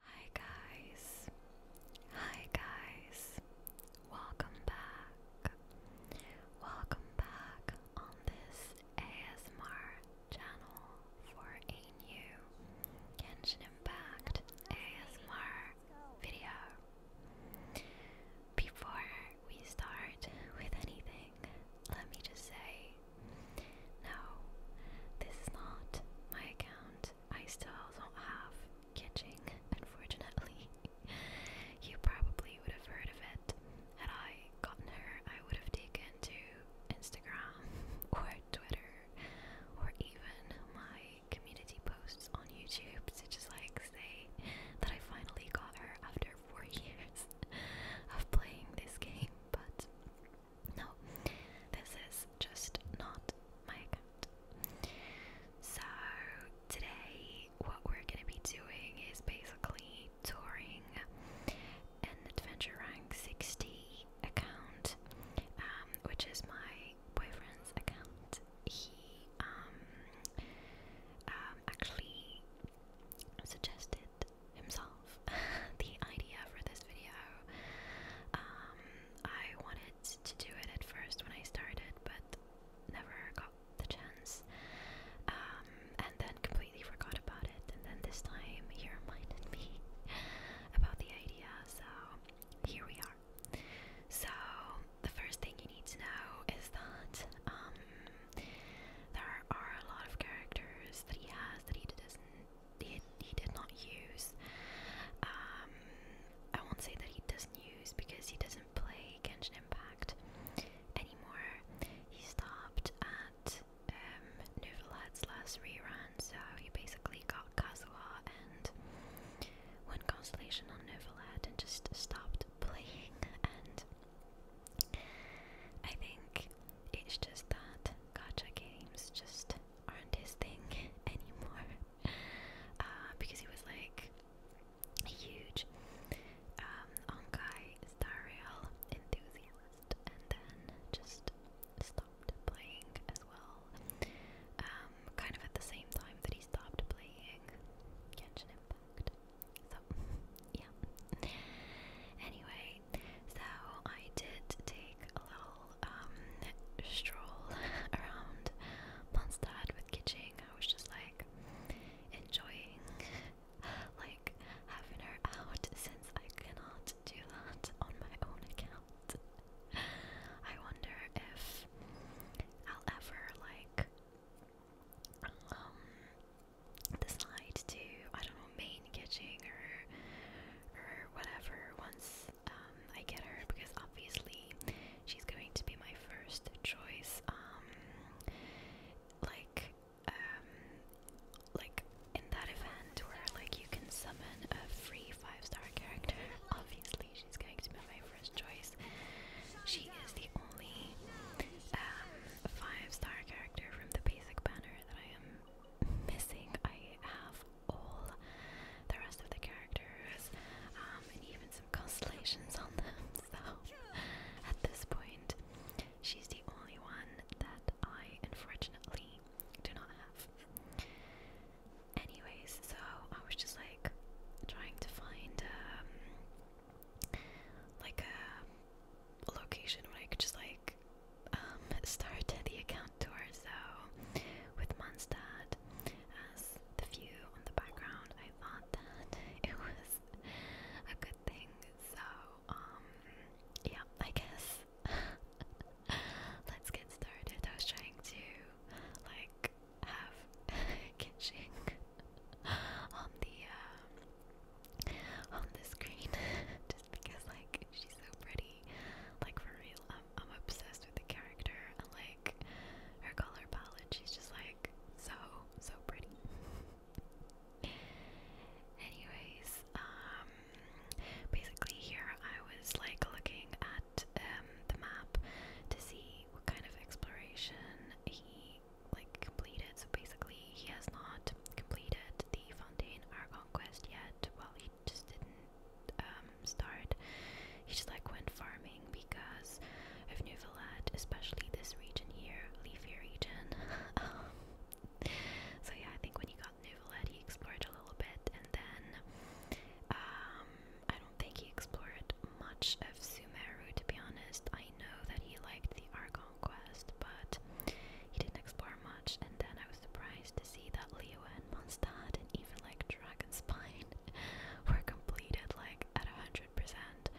Hi guys. Hi guys. Welcome back. Welcome back on this ASMR channel for a new Genshin Impact ASMR video. Before we start with anything, let me just say no, this is not my account. I still don't have catching. unfortunately. you probably would have heard of it. Had I gotten her, I would have taken to Instagram or Twitter or even my community posts on YouTube to just like say that I finally got her after four years of playing this game, but no, this is just not my account. So, today, what we're gonna be doing is basically touring an Adventure Rank 60 account, um, which is my boyfriend's account. He um, um, actually suggested himself the idea for this video. I wanted to do it at first when I started, but never got the chance. Um, and then completely forgot about it. And then this time he reminded me about the idea, so here we are. So, the first thing you need to know is that um, there are a lot of characters that he has that he doesn't he, he did not use. Um, I won't say that he doesn't use because he doesn't play Genshin Impact anymore. He stopped at um, Nouvelade's last rerun, so he basically got Kazuha and one constellation on Novelette and just stopped playing. And I think it's just that gacha games just aren't his thing anymore uh, because he was like a huge um, Onkai enthusiast and then just stopped playing as well. Um, kind of at the same time that he stopped playing Genshin Impact. So, yeah. Anyway, so I did take a little um, stroll around Mondstadt with Kitching. I was just like enjoying like having her out since I cannot do that on my own account. I wonder if I'll ever like um, decide to I don't know main Kitching or or whatever once um, I get her because obviously she's going to be my first choice. Um, like, um, like in that event where like you can summon a free five-star character, obviously she's going to be my first choice. She is the only five-star character from the basic banner that I am missing. I have all the rest of the characters, um, and even some constellations on them. So at this point, she's the only one that I unfortunately do not have. Anyways, so I was just like trying to find um, like a location where I could just like um, start the account tour. So with Mondstadt as the view on the background, I thought that it was a good thing. So, um, yeah, I guess let's get started. I was trying to like have kitchen on the uh, on the screen just because like she's so pretty, like for real. I, am obsessed with the character and like her color palette. She's just like so, so pretty. Anyways, um, basically here I was like looking at um the map to see what kind of exploration he like completed. So basically, he has not completed the Fontaine Argon quest yet. Well, he he just didn't um, start. He just like went farming because of New Villette, especially this region here, leafy region. Um, so yeah, I think when he got New Villette, he explored a little bit, and then um, I don't think he explored much of Sumeru. To be honest, I know that he liked the Argonne quest, but he didn't explore much. And then I was surprised see that Leo and Mondstadt and even like Dragonspine were completed like at a hundred percent.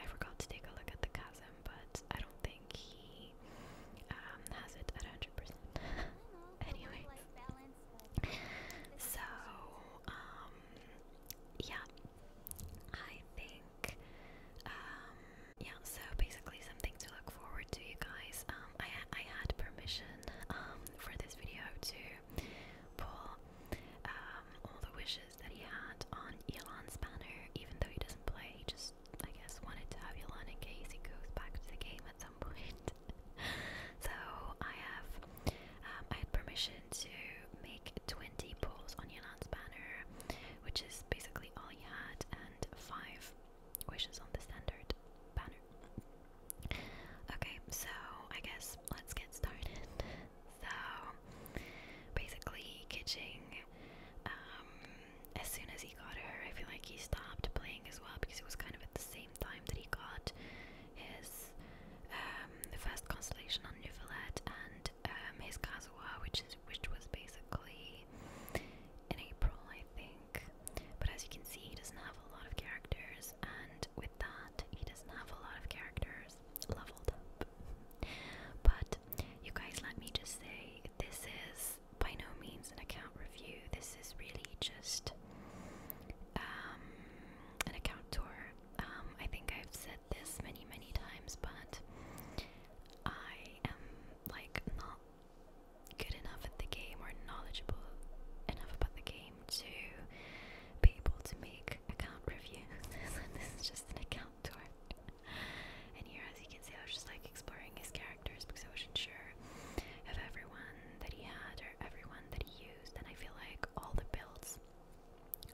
I forgot to take a look at the chasm, but I don't think he um, has it at a hundred percent. Anyway, so um, yeah, I think um, yeah. So basically, something to look forward to, you guys. I, had permission um, for this video to pull um, all the wishes that he had on Elon's banner, even though he doesn't play, he just, I guess, wanted to have Elon in case he goes back to the game at some point. so I have, um, I had permission to make 20 pulls on Elon's banner, which is basically all he had, and 5 which on the standard banner. Okay, so I guess let's get started. so basically, Kitching, um, as soon as he got her, I feel like he stopped playing as well because it was kind of at the same time that he got his um, the first constellation on Nuvalet and um, his Kazuha, which is which was basically in April, I think. But as you can see, he doesn't have a lot of characters, and with that, he doesn't have a lot of characters leveled up. But you guys, let me just say, this is by no means an account review. This is really just um, an account tour. Um, I think I've said this many, many times, but I am like not good enough at the game or knowledgeable enough about the game to be able to make account reviews. this is just an account tour. and here, as you can see, I was just like exploring his characters because I wasn't sure of everyone that he had or everyone that he used. And I feel like all the builds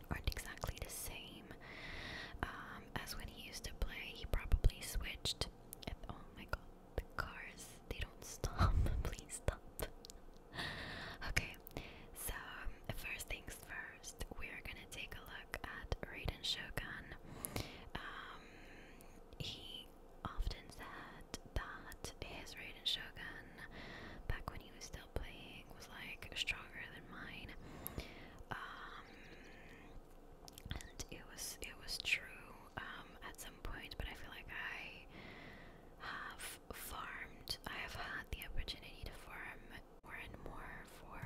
aren't exactly the same um, as when he used to play. He probably switched. At, oh my god, the cars, they don't stop. Please stop. okay, so um, first things first, we're gonna take a look at Raiden Shogun. Um, he often said that his Raiden Shogun, back when he was still playing, was like stronger than mine. Um, and it was it was true. Um, at some point, but I feel like I have farmed, I have had the opportunity to farm more and more for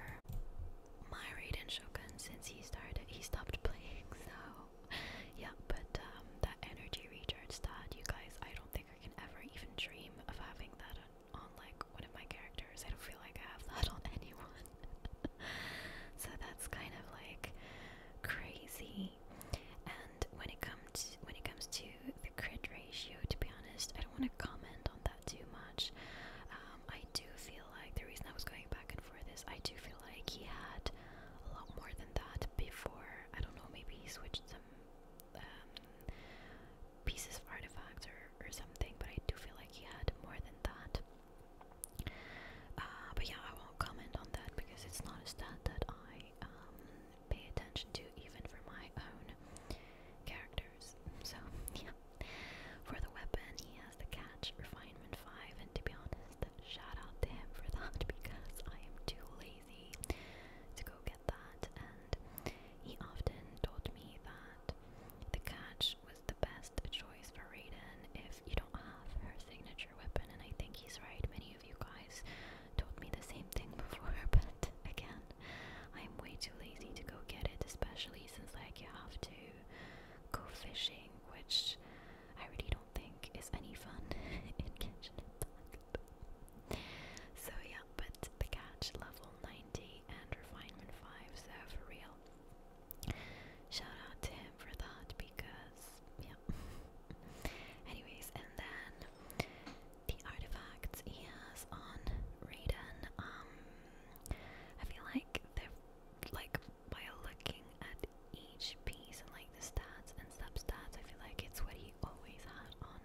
my Raiden Shogun since he started, he stopped playing, so yeah, but um, that energy recharge stat, you guys, I don't think I can ever even dream of having that on like one of my characters, I don't feel like I have that on anyone. so that's kind of like crazy and when it comes when it comes to the crit ratio, to be honest, I don't want to comment on that too much. Um, I do feel like the reason I was going back and forth is I do feel like he had a lot more than that before. I don't know, maybe he switched some um, pieces of artifacts or, or something, but I do feel like he had more than that. Uh, but yeah, I won't comment on that because it's not a stat that I um, pay attention to even for my own characters. So yeah. For the weapon, he has the catch, refinement 5, and to be honest, shout out to him for that because I am too lazy to go get that. And he often told me that the catch was the best choice for Raiden if you don't have her signature weapon, and I think he's right. Many you guys told me the same thing before, but again, I'm way too lazy to go get it, especially since like you have to go fishing, which I really don't think is any fun in Genshin Impact. so yeah, but the catch level 90 and refinement 5, so for real. Shout out to him for that because yeah. Anyways, and then the artifacts he has on Raiden, um, I feel like they're, like, by looking at each piece and, like, the stats and substats, I feel like it's what he always had on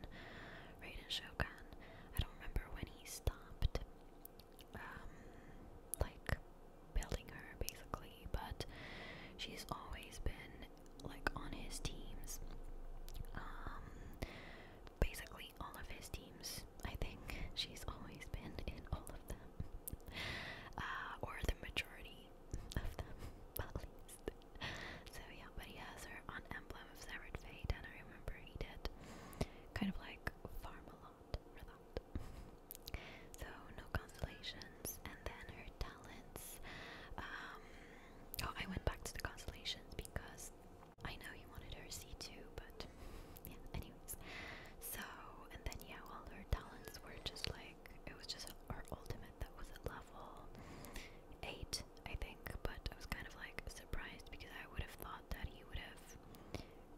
Raiden Shogun. I don't remember when he stopped, um, like, building her basically, but she's always been like on his teams. Um, basically, all of his teams, I think she's always been in all of them, uh, or the majority of them, at least. So, yeah, but he has her on Emblem of Severed Fate, and I remember he did kind of like farm a lot for that. So no constellations, and then her talents. Um, oh, I went back to the constellations because I know you wanted her C2, but yeah. Anyways, so and then yeah, all her talents were just like it was just her ultimate that was at level eight, I think. But I was kind of like surprised because I would have thought that he would have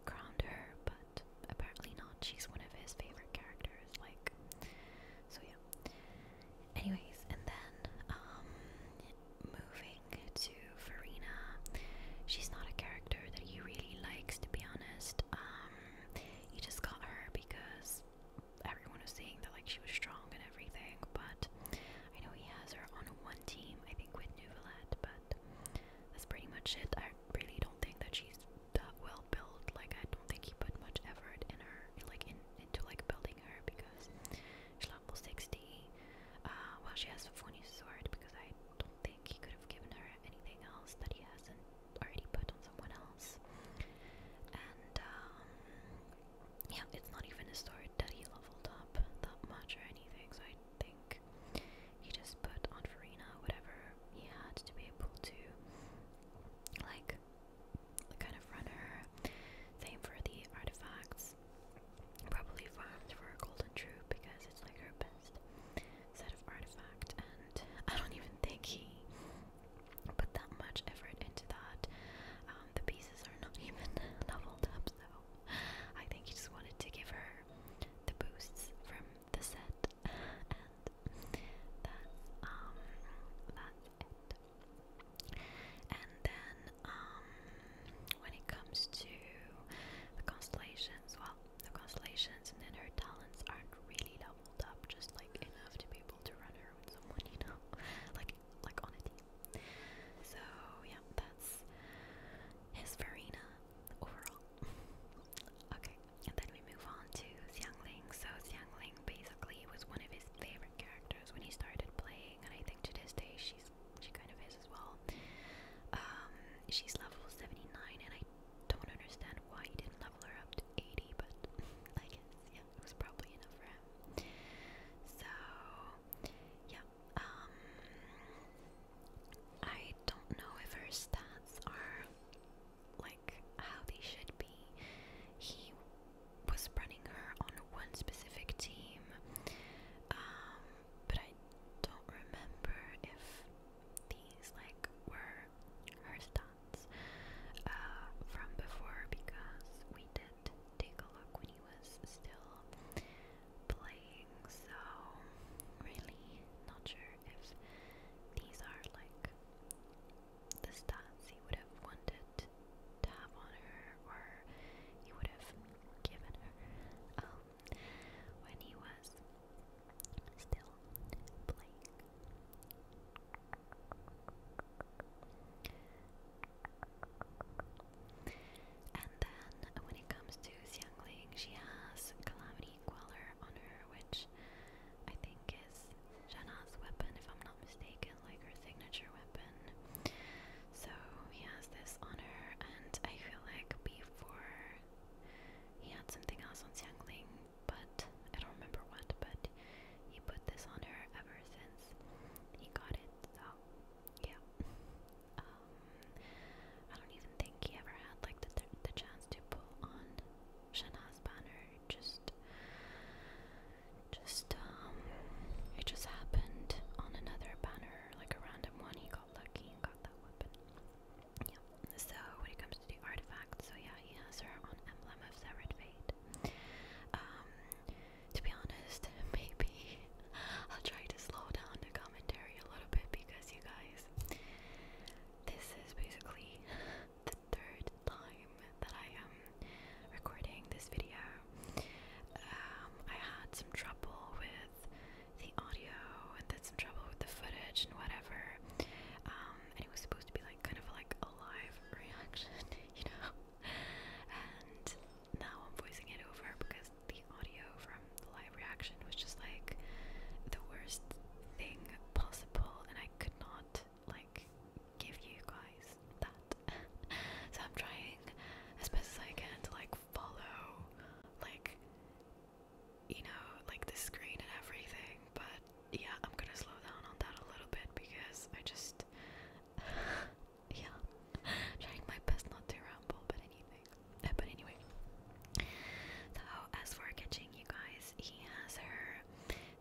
crowned her, but apparently not. She's one of his favorite characters, like. So yeah. Anyways, and then um moving to Farina. She's not a character that he really likes to be honest. Um he just got her because everyone was saying that like she was strong and everything, but I know he has her on one team, I think with Nuvelette, but that's pretty much it. I really don't think that she's that well built. Like I don't think he put much effort in her, like in into like building her because she's level sixty. Uh, well, she has a funny sword because I don't think he could have given her anything else that he hasn't already put on someone else. And um, yeah, it's not even a sword that he leveled up that much or anything. So I think he just put on Farina whatever he had to be able to like kind of runner. Same for the artifacts. Probably farmed for a golden troop because it's like her best set of artifact, and I don't even think he put that much effort into that. Um, the pieces are not even leveled up, so I think he just wanted to give her the boosts from the set and that's um that's it. And then um when it comes to the constellations, well the constellations and then her talents aren't really leveled up just like enough to be able to run her with someone, you know? like like on a team. So yeah, that's his Farina overall. okay, and then we move on to Xiangling. So Xiangling basically was one of his favorite characters when he started playing, and I think to this day she's she kind of is as well. Um, she's level 79, and I don't understand why he didn't level her up to 80, but I guess yeah, it was probably enough for him. So yeah, um, I don't know if her stats are like how they should be. He was running her on one specific team, um, but I don't remember if these like were her stats uh, from before because we did take a look when he was still playing. So really not sure if these are like the stats he would have wanted to have on her or he would have given her um, when he was still playing. And then when it comes to Xiangling, she has Calamity Queller on her, which which I think is Jana's weapon, if I'm not mistaken, like her signature weapon. So he has this on her, and I feel like before he had something else on Xiangling, but I don't remember what, but he put this on her ever since he got it, so yeah. Um, I don't even think he ever had like the, the chance to pull on Shana's banner just, just um, it just happened on another banner, like a random one. He got lucky and got that weapon. So when it comes to the artifacts, so yeah, he has her on Emblem of Severed Fate. Um, to be honest, maybe I'll try to slow down the commentary a little bit because you guys, this is basically the third time that I am recording this video. Um, I had some trouble with the audio and then some trouble with the footage and whatever. Um, and it was supposed to be like kind of like a live reaction, you know. And now I'm voicing it over because the audio from the live reaction was just like the worst thing possible, and I could not like give you guys that. so I'm trying as best as I can to like follow like you know, like the screen and everything, but yeah, I'm gonna slow down on that a little bit because I just yeah. trying my best not to ramble but anything. Uh, but anyway. So as for catching you guys. He has her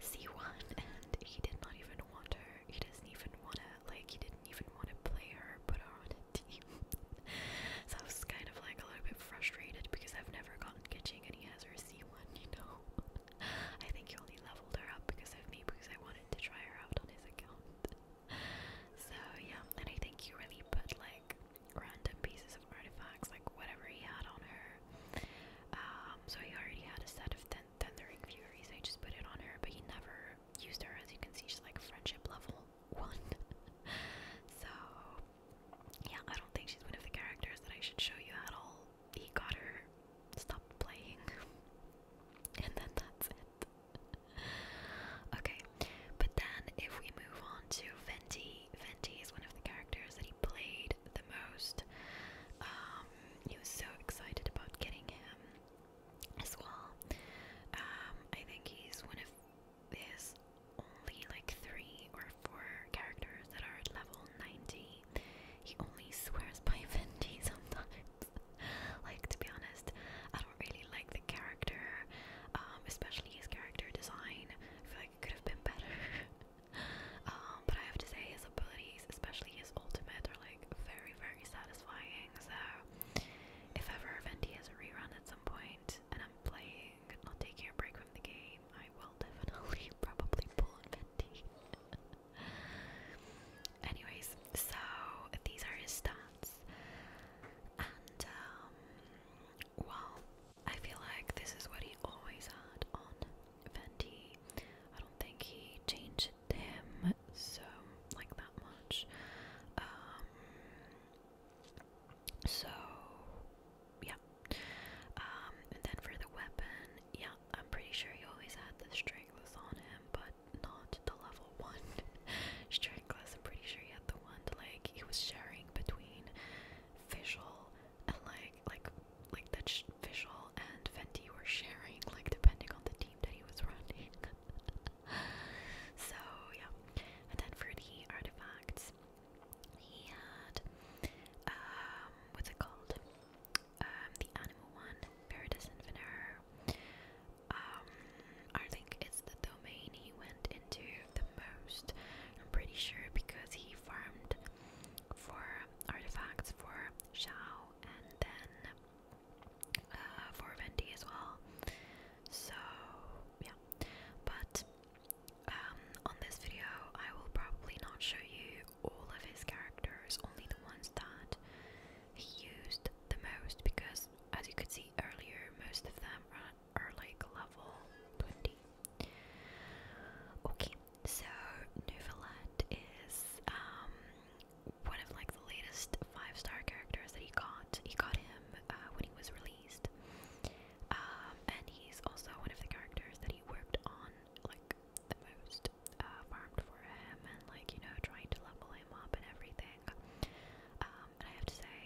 C1, and he did not even want her. He doesn't even want to, like, he didn't even want to play her, put her on a team. so I was kind of like a little bit frustrated because I've never gotten Kitching, and he has her C1, you know. I think he only leveled her up because of me, because I wanted to try her out on his account. so yeah, and I think he really put like random pieces of artifacts, like whatever he had on her, um, so he already had a set of th Furies. I just put it on her, but he never used her. As you can see, she's like friendship level one. so yeah, I don't think she's one of the characters that I should show you at all. He got her, stopped playing, and then that's it. okay, but then if we move on to Venti, Venti is one of the characters that he played most. Um, he was so excited about getting him as well. Um, I think he's one of his only like three or four characters that are level 90. He only swears by Vindy sometimes. like, to be honest, I don't really like the character, um, especially his character design. I feel like it could have been better. Um, but I have to say his abilities, especially his ultimate, are like very, very satisfying. So if ever Venti has a rerun at some point and I'm playing, not taking a break from the game, I will definitely probably pull Venti. Anyways, so these are his stats, and um, well, I feel like this is what he always had on Fenty. I don't think he changed them so like that much. Um, so yeah. Um, and then for the weapon, yeah, I'm pretty sure he always had the stranglers on him, but not the level one stranglers. I'm pretty sure he had the one like he was sharing between visual and like like like that Visual and Fenty were sharing, like depending on the team that he was running. so yeah, and then for the artifacts, he had um, what's it called? Um, the animal one, Paradise and Vener. Um, I think it's the domain he went into the most. I'm pretty sure because he farmed for artifacts for Xiao and then uh, for Vendi as well. So yeah, but um, on this video I will probably not show you all of his characters, only the ones that he used the most because as you could see earlier, most of them are, like level 20. Okay, so Newfoundland is um, one of like the latest five-star characters that he got. He got him uh, when he was released, um, and he's also one of the characters that he worked on like the most, uh, farmed for him, and like you know trying to level him up and everything. Um, I have to say,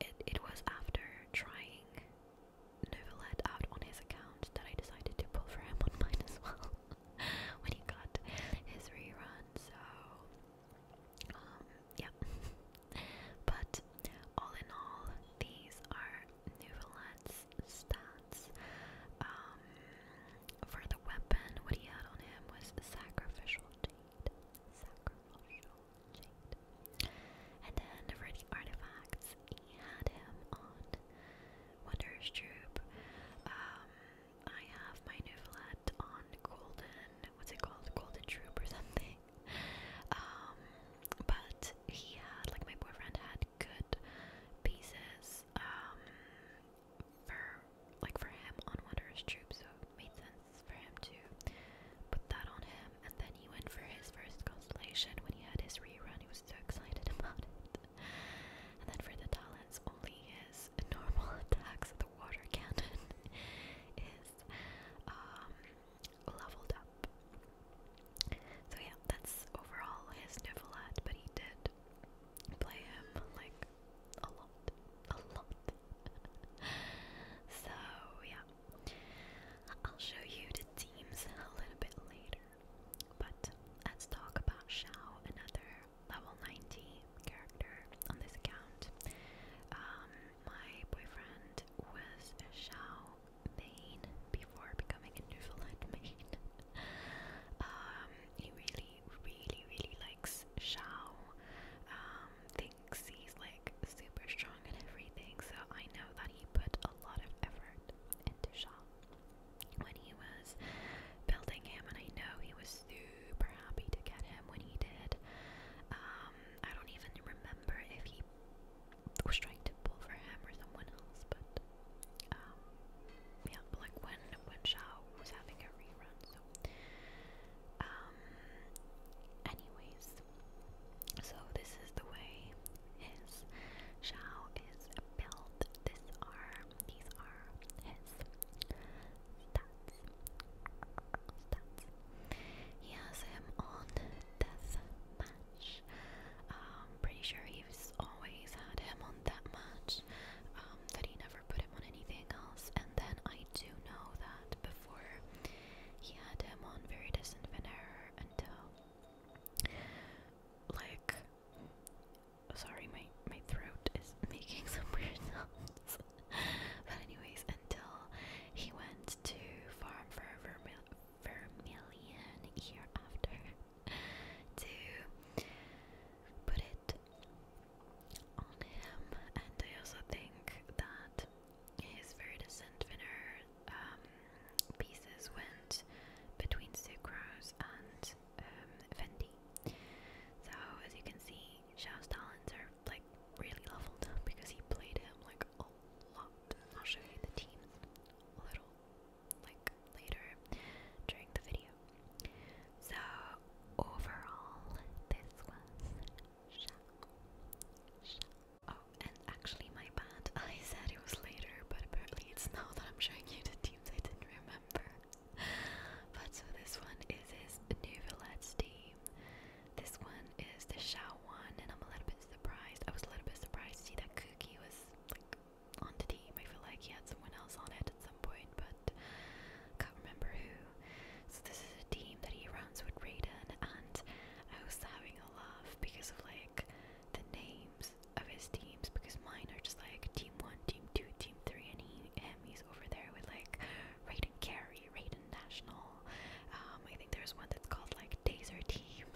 it it was after trying Nova out on his account that I decided to pull for him on mine as well when he got his rerun, so um yeah. but all in all, these are Nuvalet's stats. Um for the weapon, what he had on him was sacrificial Sacrificial and then for the artifacts, he had him on Wondrous Troop. Um, I have my Nouvellet on Golden, what's it called? Golden Troop or something. Um, but he had, like my boyfriend had good pieces, um, for, like for him on Wanderer's Troop, so made sense for him to put that on him and then he went for his first constellation when he had his rerun. He was so excited about it. And then for the talents, only his normal attacks, the water cannon, is um, leveled up. So yeah, that's overall his Nivalat, but he did play him like a lot, a lot. so yeah, I'll show you the teams a little bit later, but let's talk about Xiao, another level 90 character on this account. Um, my boyfriend was Xiao main before becoming a Newfoundland main. Um, he really, really, really likes Xiao. Um, thinks he's like super strong and everything, so I that he put a lot of effort into Shaw when he was building him, and I know he was super happy to get him when he did. Um, I don't even remember if he was trying to pull for him or someone else, but um, yeah, like when when Shaw was having a rerun. So, um, anyways, so this is the way his shao is built. This arm, these are his stats. Stats. He has him on death match. Um, pretty sure he's always had him on that match. Um, that he never put him on anything else. And then I do know that before he had him on very distant error until like, sorry, my my throat is making some weird sounds. but anyways, until he went to farm for vermil vermilion year after to put it on him, and I also think that his verdicent winner um, pieces went between Sucrose and um, So as you can see, Xiao's talents are like really leveled up because he played him like a lot. I'll show you the teams a little like later during the video. So overall, this was Oh, and actually, my bad. I said it was later, but apparently it's now that I'm showing you the teams I didn't remember. but so this one is his New Villette team. This one is the Shao one, and I'm a little bit surprised. I was a little bit surprised to see that Cookie was like on the team. I feel like he had someone else on it at some point, but can't remember who. So this is a team that he runs with Raiden, and I was having a laugh because of like the names of his teams because mine are just like team one, team two, team three, and he him he's over there with like Raiden Carey, Raiden National. Um, I think there's one that's called like Dazer Team.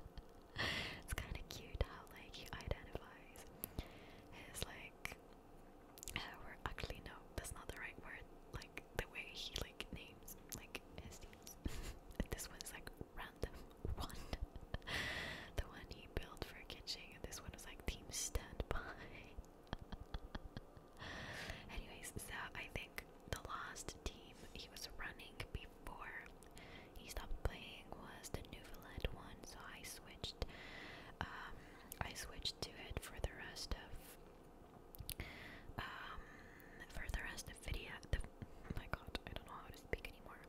it's kind of cute how like he identifies his like. Uh, we're actually no, that's not the right word. Like the way he names, like teams. this one's like random one. the one he built for Kitching, this one was like team standby. Anyways, so I think the last team he was running before he stopped playing was the Newfoundland one, so I switched. Um, I switched to it for the rest of um, for the rest of video, oh my god, I don't know how to speak anymore.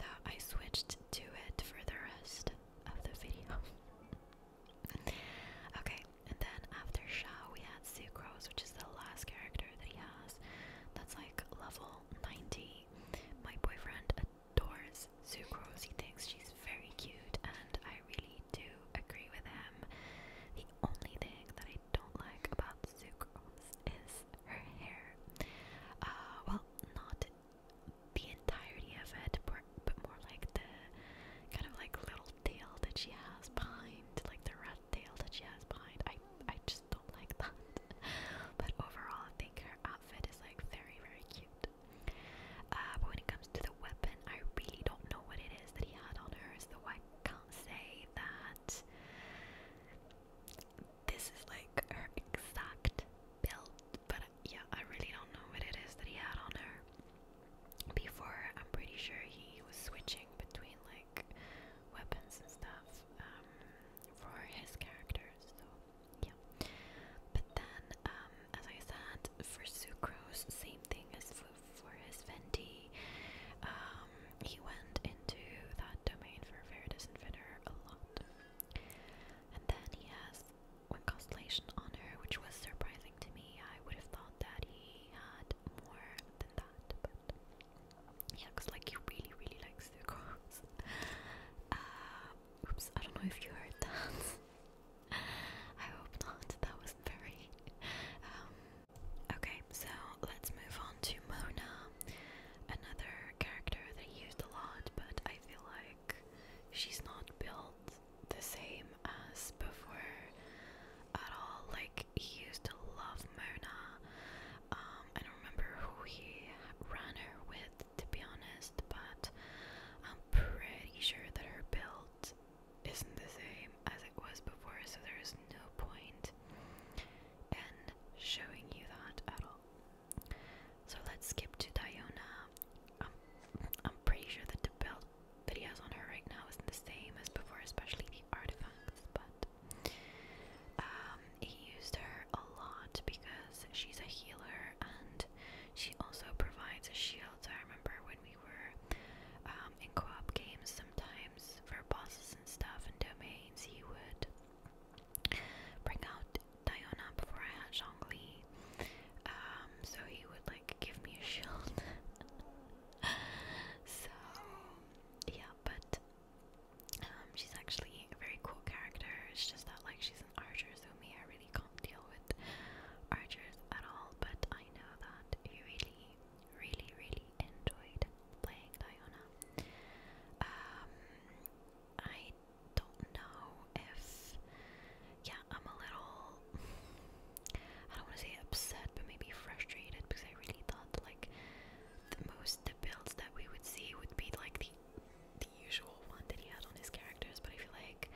So I switched to it for the rest of the video. okay, and then after Shao, we had Sucrose, which is the last character that he has. That's like level 90. My boyfriend adores Sucrose, he thinks she's very cute, and I really do agree with him. The only thing that I don't like about Zuko is her hair. Uh, well, not the entirety of it, but, but more like the kind of like little tail that she has behind, like the red tail that she has behind. I, I just don't like that. but overall, I think her outfit is like very, very cute. Uh, when it comes to the weapon, I really don't know what it is that he had on her, so I can't say that this. This is like her exact build, but yeah, I really don't know what it is that he had on her before. I'm pretty sure he was switching between like weapons and stuff um, for his characters, so yeah. But then, um, as I said, for sucrose, same thing as for, for his Fenty. Um, he went into that domain for Veritas and Finner a lot. And then he has one constellation on her, which was surprising to me. I would have thought that he had more than that, but yeah, because like he really, really likes the girls. Uh, oops, I don't know if you heard that. I hope not. That was very um, Okay, so let's move on to Mona, another character that he used a lot, but I feel like she's not built the same as before at all. Like, he used to love Mona. Um, I don't remember who he ran her with, to be honest, but I'm pretty sure that her build isn't the same as it was before, so there is no point and showing you that at all. So let's skip to Diona. I'm pretty sure that the belt that he has on her right now isn't the same as before, especially the artifacts, but um, he used her a lot because she's a healer and she also provides a shield. I remember when we were um, in co op games sometimes for bosses and stuff and domains, he would bring out Diana before I had Zhongli. Um, so he would like give me a shield. so yeah, but um, she's actually a very cool character. It's just that like she's an archer, so me I really can't deal with archers at all. But I know that you really really, really enjoyed playing Diona. Um, I don't know if, yeah, I'm a little, I don't want to say upset, but maybe frustrated because I really thought like the most the builds that we would see would be like the the usual one that he had on his characters, but I feel like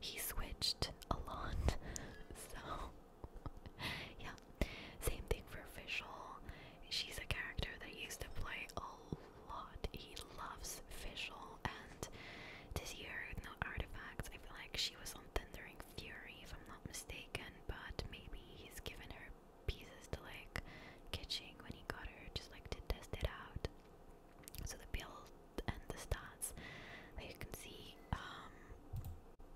he switched a lot, so yeah. Same thing for Fischl. She's a character that used to play a lot. He loves Fischl, and this year, no artifacts. I feel like she was on Thundering Fury, if I'm not mistaken, but maybe he's given her pieces to like catching when he got her, just like to test it out. So the build and the stats you can see um,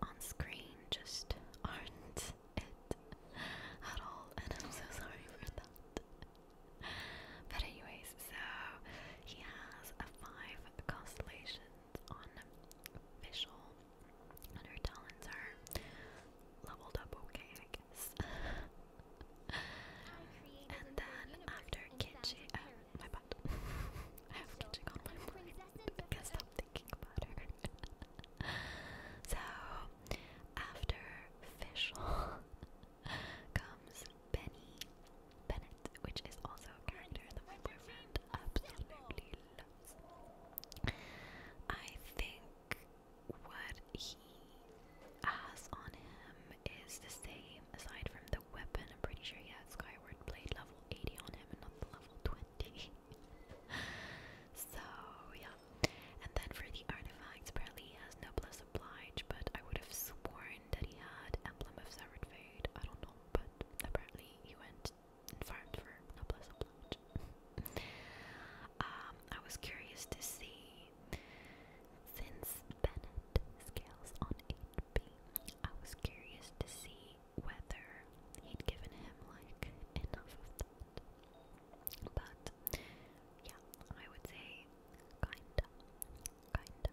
on screen just aren't at all, and I'm so sorry for that. But anyways, so he has a five constellations on Vishal, and her talents are leveled up okay, I guess. and then after Kitchi, uh, my butt. I have Kitchik on my mind. I guess so, after Fischl comes Benny Bennett, which is also a character that my boyfriend absolutely loves. I think what he has on him is the same, aside from the weapon. I'm pretty sure he has Skyward Blade level 80 on him and not the level 20. so, yeah. And then for the artifacts, apparently he has Noblesse Oblige, but I would have sworn that he had Emblem of Severed Fate. I don't know, but apparently he went and for Noblesse Oblige. um, I was curious to see, since Bennett scales on 8B, I was curious to see whether he'd given him like enough of that. But yeah, I would say kinda, kinda,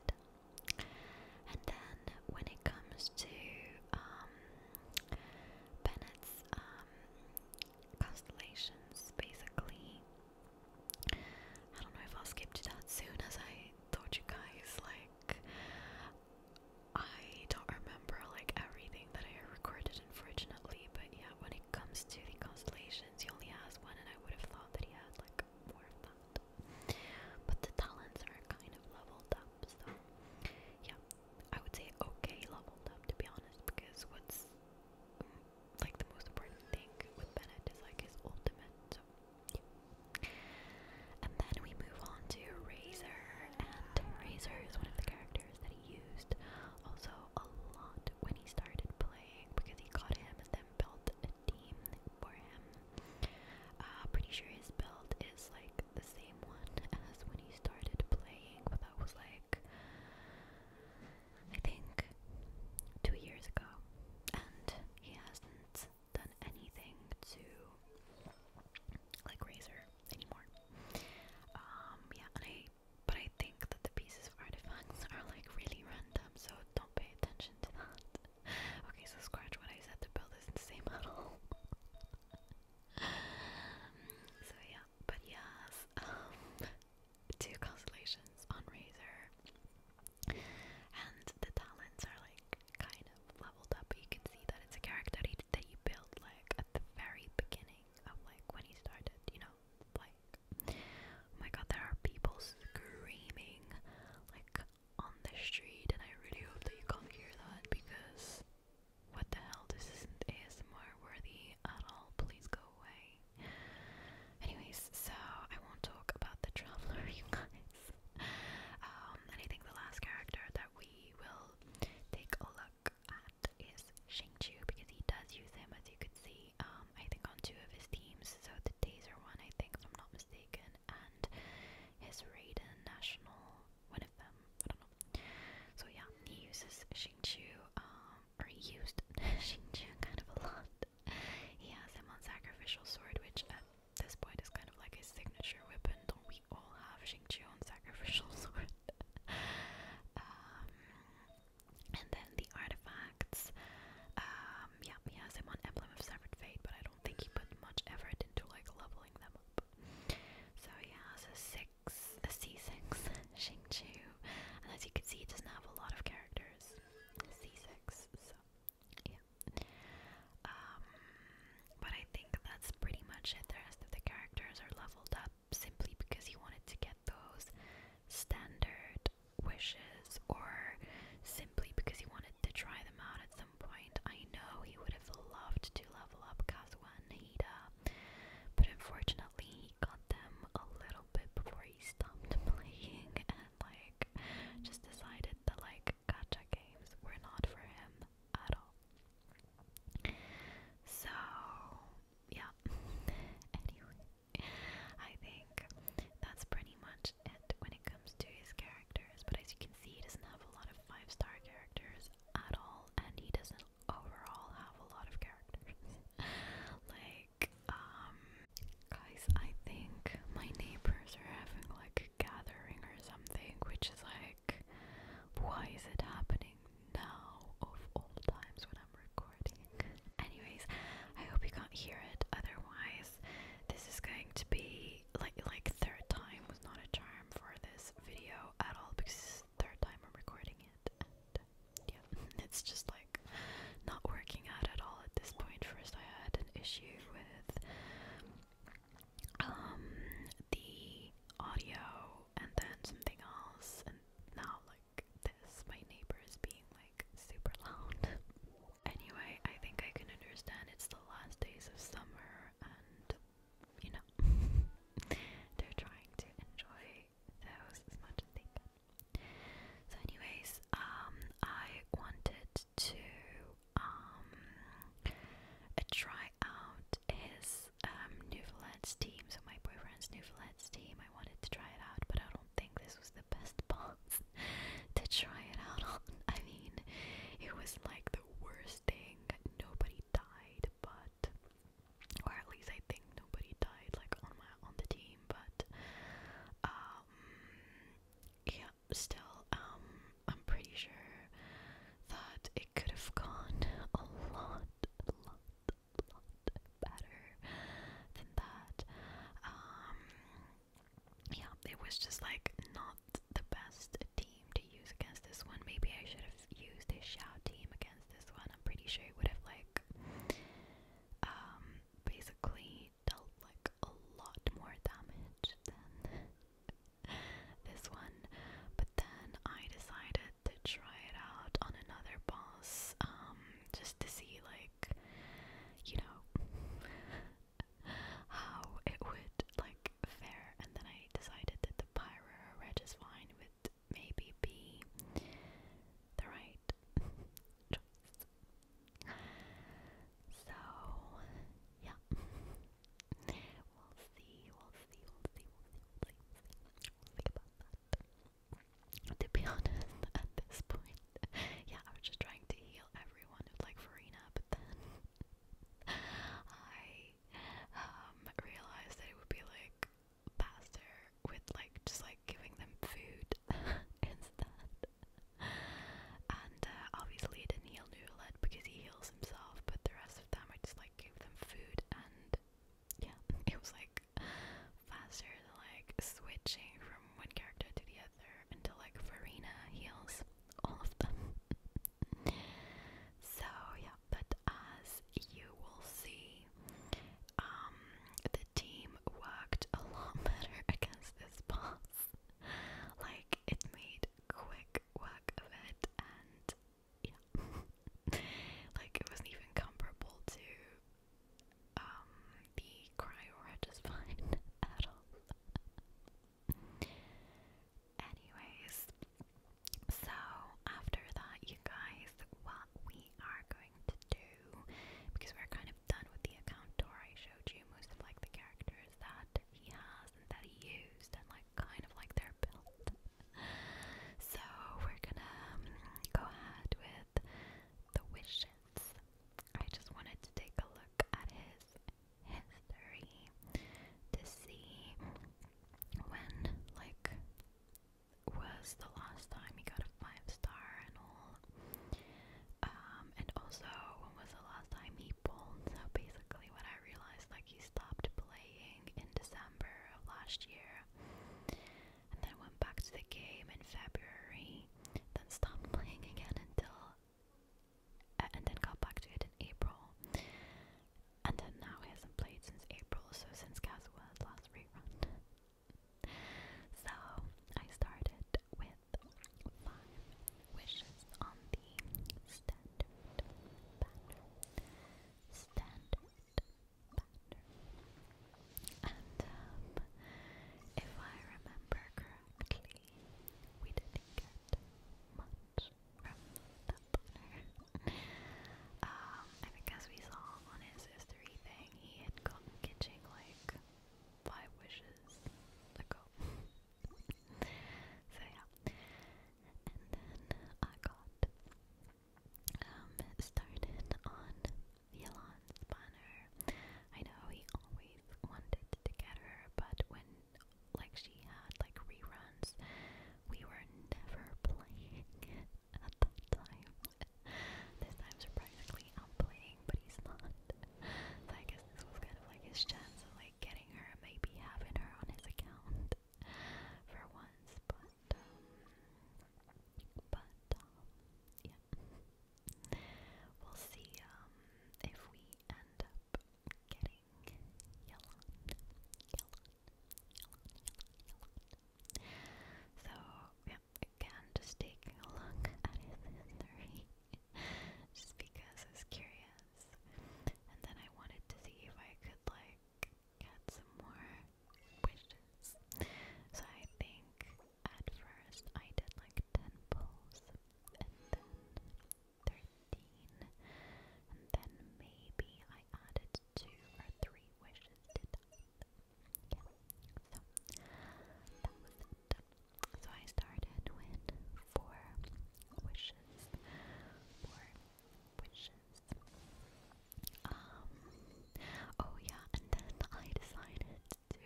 kinda. And then when it comes to um, Bennett's um, constellations, basically, I don't know if I'll skip to that soon as I told you guys. Like, I don't remember like everything that I recorded, unfortunately. But yeah, when it comes to the constellations, he only has one, and I would have thought that he had like more of that. But the talents are kind of leveled up, so yeah, I would say okay, leveled up to be honest. Because what's like the most important thing with Bennett is like his ultimate. And then we move on to Razor, and Razor is one of the characters that he used also a lot when he started playing because he got him and then built a team for him. Uh, pretty sure his build is like the same one as when he started playing, but that was like I think two years ago, and he hasn't done anything to like Razor anymore. Um, yeah, but I think that the pieces of artifacts are like really random, so don't pay attention to that. okay, so scratch what I said to build this the same model. so yeah, but yes, um, two constellations on Razor, and the talents are like kind of leveled up, but you can see that it's a character that you that built like at the very beginning of like when he started, you know, like oh my god, there are people screaming like on the street, and I really hope that you can't hear that because what the hell, this isn't ASMR worthy at all. Please go away. Anyways, so I won't talk about the traveler, you guys. Um, and I think the last character that we will take a look at is Shang-Chu because he does use him as you could see um, I think on two of his teams so the Taser one I think if I'm not mistaken and his Raiden National one of them so yeah he uses Shang-Chu um, or he used Shang-Chu kind of a lot he has him on Sacrificial Sword which at this point is kind of like his signature weapon do we all have pushing on sacrificial sword. Um, and then the artifacts. Um, yeah, he has him on Emblem of Severed Fate, but I don't think he put much effort into like leveling them up. So he has a six, a C6, Shing Chu, and as you can see, he doesn't have a lot of characters. C6, so yeah. Um, but I think that's pretty much it. The rest of the characters are leveled up simply because he wanted to get those standard wishes or simply because he wanted to try them out at some point. I know he would have loved to level up Kazuha and Hida, but unfortunately he got them a little bit before he stopped playing and like just decided that like gacha games were not for him at all. So, yeah. anyway, I think that's pretty much it when it comes to his characters. But as you can see, he doesn't have a lot of five star characters at all, and he doesn't overall have a lot of characters. like, um, guys, I think my neighbors are having like a gathering or something, which is like why is it happening now of all times when I'm recording? Anyways, I hope you can't hear it. Otherwise, this is going to be like like third time was not a charm for this video at all because this is the third time I'm recording it. And, yeah, it's just like not working out at all at this point. First, I had an issue with um, the audio, and then something else, and now like this, my neighbor is being like super loud. anyway, I think I can understand it's the last days of summer, and you know, they're trying to enjoy those as much as they can. So, anyways, um, I wanted to um try out his um, Newfoundlands team, so my boyfriend's Newfoundlands team. I wanted to try it out, but I don't think this was the best box to try it out on. I mean, it was like the worst thing. Nobody died, but or at least I think nobody died like on my on the team, but um yeah, still um I'm pretty sure that it could have gone a lot, lot, lot better than that. Um, yeah, it was just like not the best team to use against this one. Maybe I should have used a shout team against this one. I'm pretty sure it would have like um basically dealt like a lot more damage than this one, but then I decided to try it out on another boss, um, just to see, like, you know, how it would, like, fare, and then I decided that the Pyra Regis Vine would maybe be the right So, yeah, We'll see, we'll see, we'll see, we'll see, we'll see, we'll see. think about that. To be honest, at this point, yeah, I was just trying to heal everyone who'd like Farina, but then I realized that it would be like faster with like just like giving them food instead. And obviously it didn't heal Newlet because he heals himself, but the rest of them. I just like gave them food and yeah, it was like faster than like switching from one character to the other until like Farina heals all of them. so yeah, but as you will see, um, the team worked a lot better against this boss. like it made quick work of it and yeah. like it wasn't even comparable to um, the cryo regispine at Anyways, so after that you guys what we are going to do because we're kind of done with the account tour I showed you most of like the characters that he has and that he used and like like kind of like their build. so we're gonna um, go ahead with the wishes. I just wanted to take a look at his history to see when like was the last time he got a five star and all. Um, and also when was the last time he pulled? So basically, what I realized like he stopped playing in December of last year, and then went back to the game in February, then stopped playing again until, uh, and then got back to it in April, and then now he hasn't played since April, so since Caswell's last rerun. so I started with five wishes on the standard banner standard pattern. And um, if I remember correctly, we didn't get much from that banner. um, I we saw on his history thing, he had gotten kitching like five wishes ago. so yeah and then I got um, started on Elon Spanner. I know we always wanted to get her, but when like she had like reruns, we were never playing at that time. this time surprisingly I'm playing, but he's not. So I guess this was kind of like his chance of like getting her, maybe having her on his account for once, but um, but um, yeah, we'll see um, if we end up getting Yellon, Yellon, Yellon, Yellon, Yellon. So yeah, again, just take a look at history, just because I was curious, and then I wanted to see if I could like get some more wishes. So I think at first I did like 10 pulls, and then 13, and then maybe I added 2 or 3 wishes to that. Yeah, so that was it. So I started with 4 wishes for um, oh yeah, and then I decided to,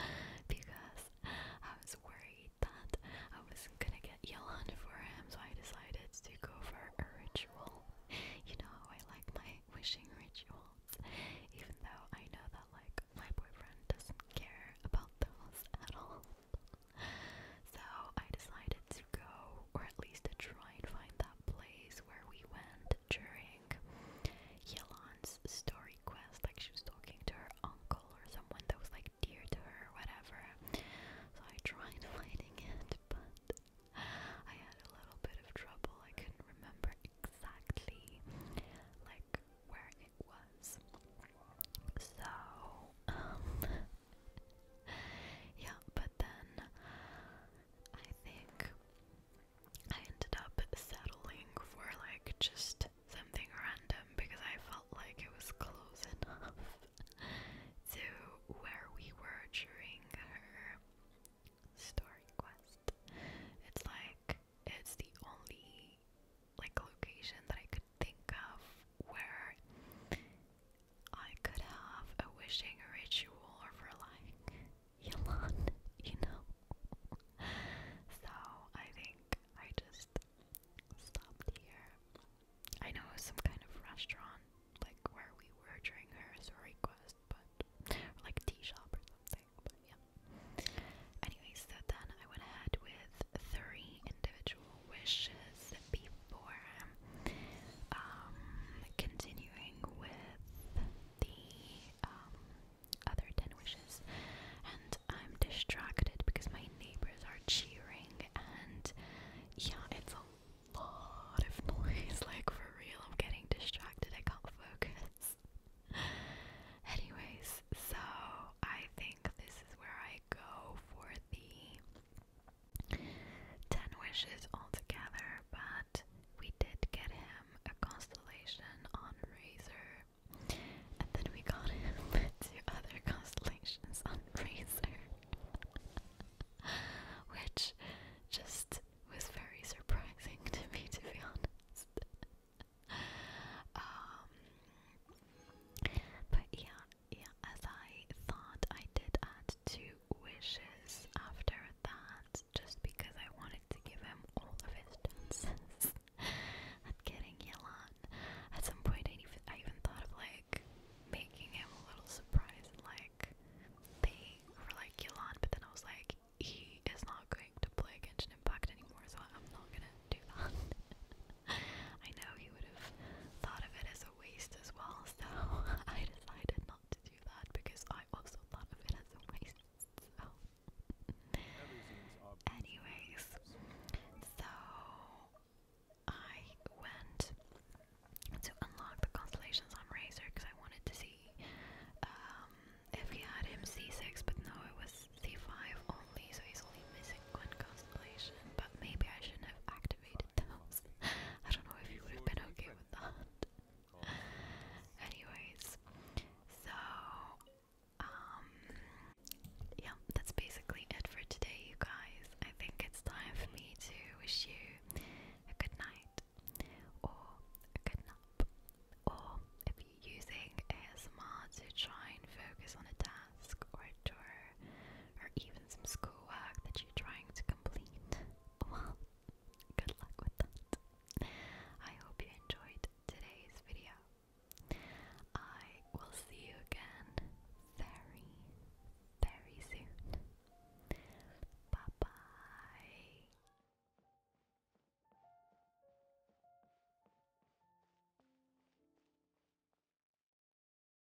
because I was worried that I was gonna get yelled for him, so I decided to go for a ritual. You know, I like my wishing rituals, even though I know that, like, my boyfriend doesn't care about those at all so I decided to go, or at least to try and find that place where we went during Yelan's story quest. Like she was talking to her uncle or someone that was like dear to her, or whatever. So I tried finding it, but I had a little bit of trouble. I couldn't remember exactly like where it was. So, um, yeah, but then I think I ended up settling for like just something random because I felt like it was close enough to where we were during her story quest. It's like it's the only like location that I could think of where I could have a wishing ritual for like Elon, you know. so I think I just stopped here. I know some kind of restaurant like where we were during her request, but like tea shop or something. But yeah. Anyway, so then I went ahead with three individual wishes before um, continuing with the um, other 10 wishes. And I'm distracted because my neighbors are cheering, and yeah, it's a lot of noise. Like, for real, I'm getting distracted, I can't focus. Anyways, so I think this is where I go for the Ten wishes altogether, but we did get him a constellation on Razer, And then we got him two other constellations on Razer, Which just was very surprising to me, to be honest. Um, but yeah, yeah, as I thought, I did add two wishes after that just because I wanted to give him all of his chances at getting Yelan. At some point, I even, I even thought of like making him a little surprised and like they were like Yelan, but then I was like, he is not going to play Genshin Impact anymore, so I'm not gonna do that. I know he would have thought of it as a waste as well, so I decided not to do that because I also thought of it as a waste. So, anyways, so I went to unlock the constellations on Razor because I wanted to see um, if he had him C6, but no, it was C5 only, so he's only missing one constellation. But maybe I shouldn't have activated those. I don't know if you would have been okay with that. Anyways, so um yeah, that's basically it for today you guys. I think it's time for me to wish you a good night or a good nap. Or if you're using ASMR to try and focus on a task or a chore or even some schoolwork that you're trying to complete, well, good luck with that. I hope you enjoyed today's video. I will see you again very, very soon. Bye bye.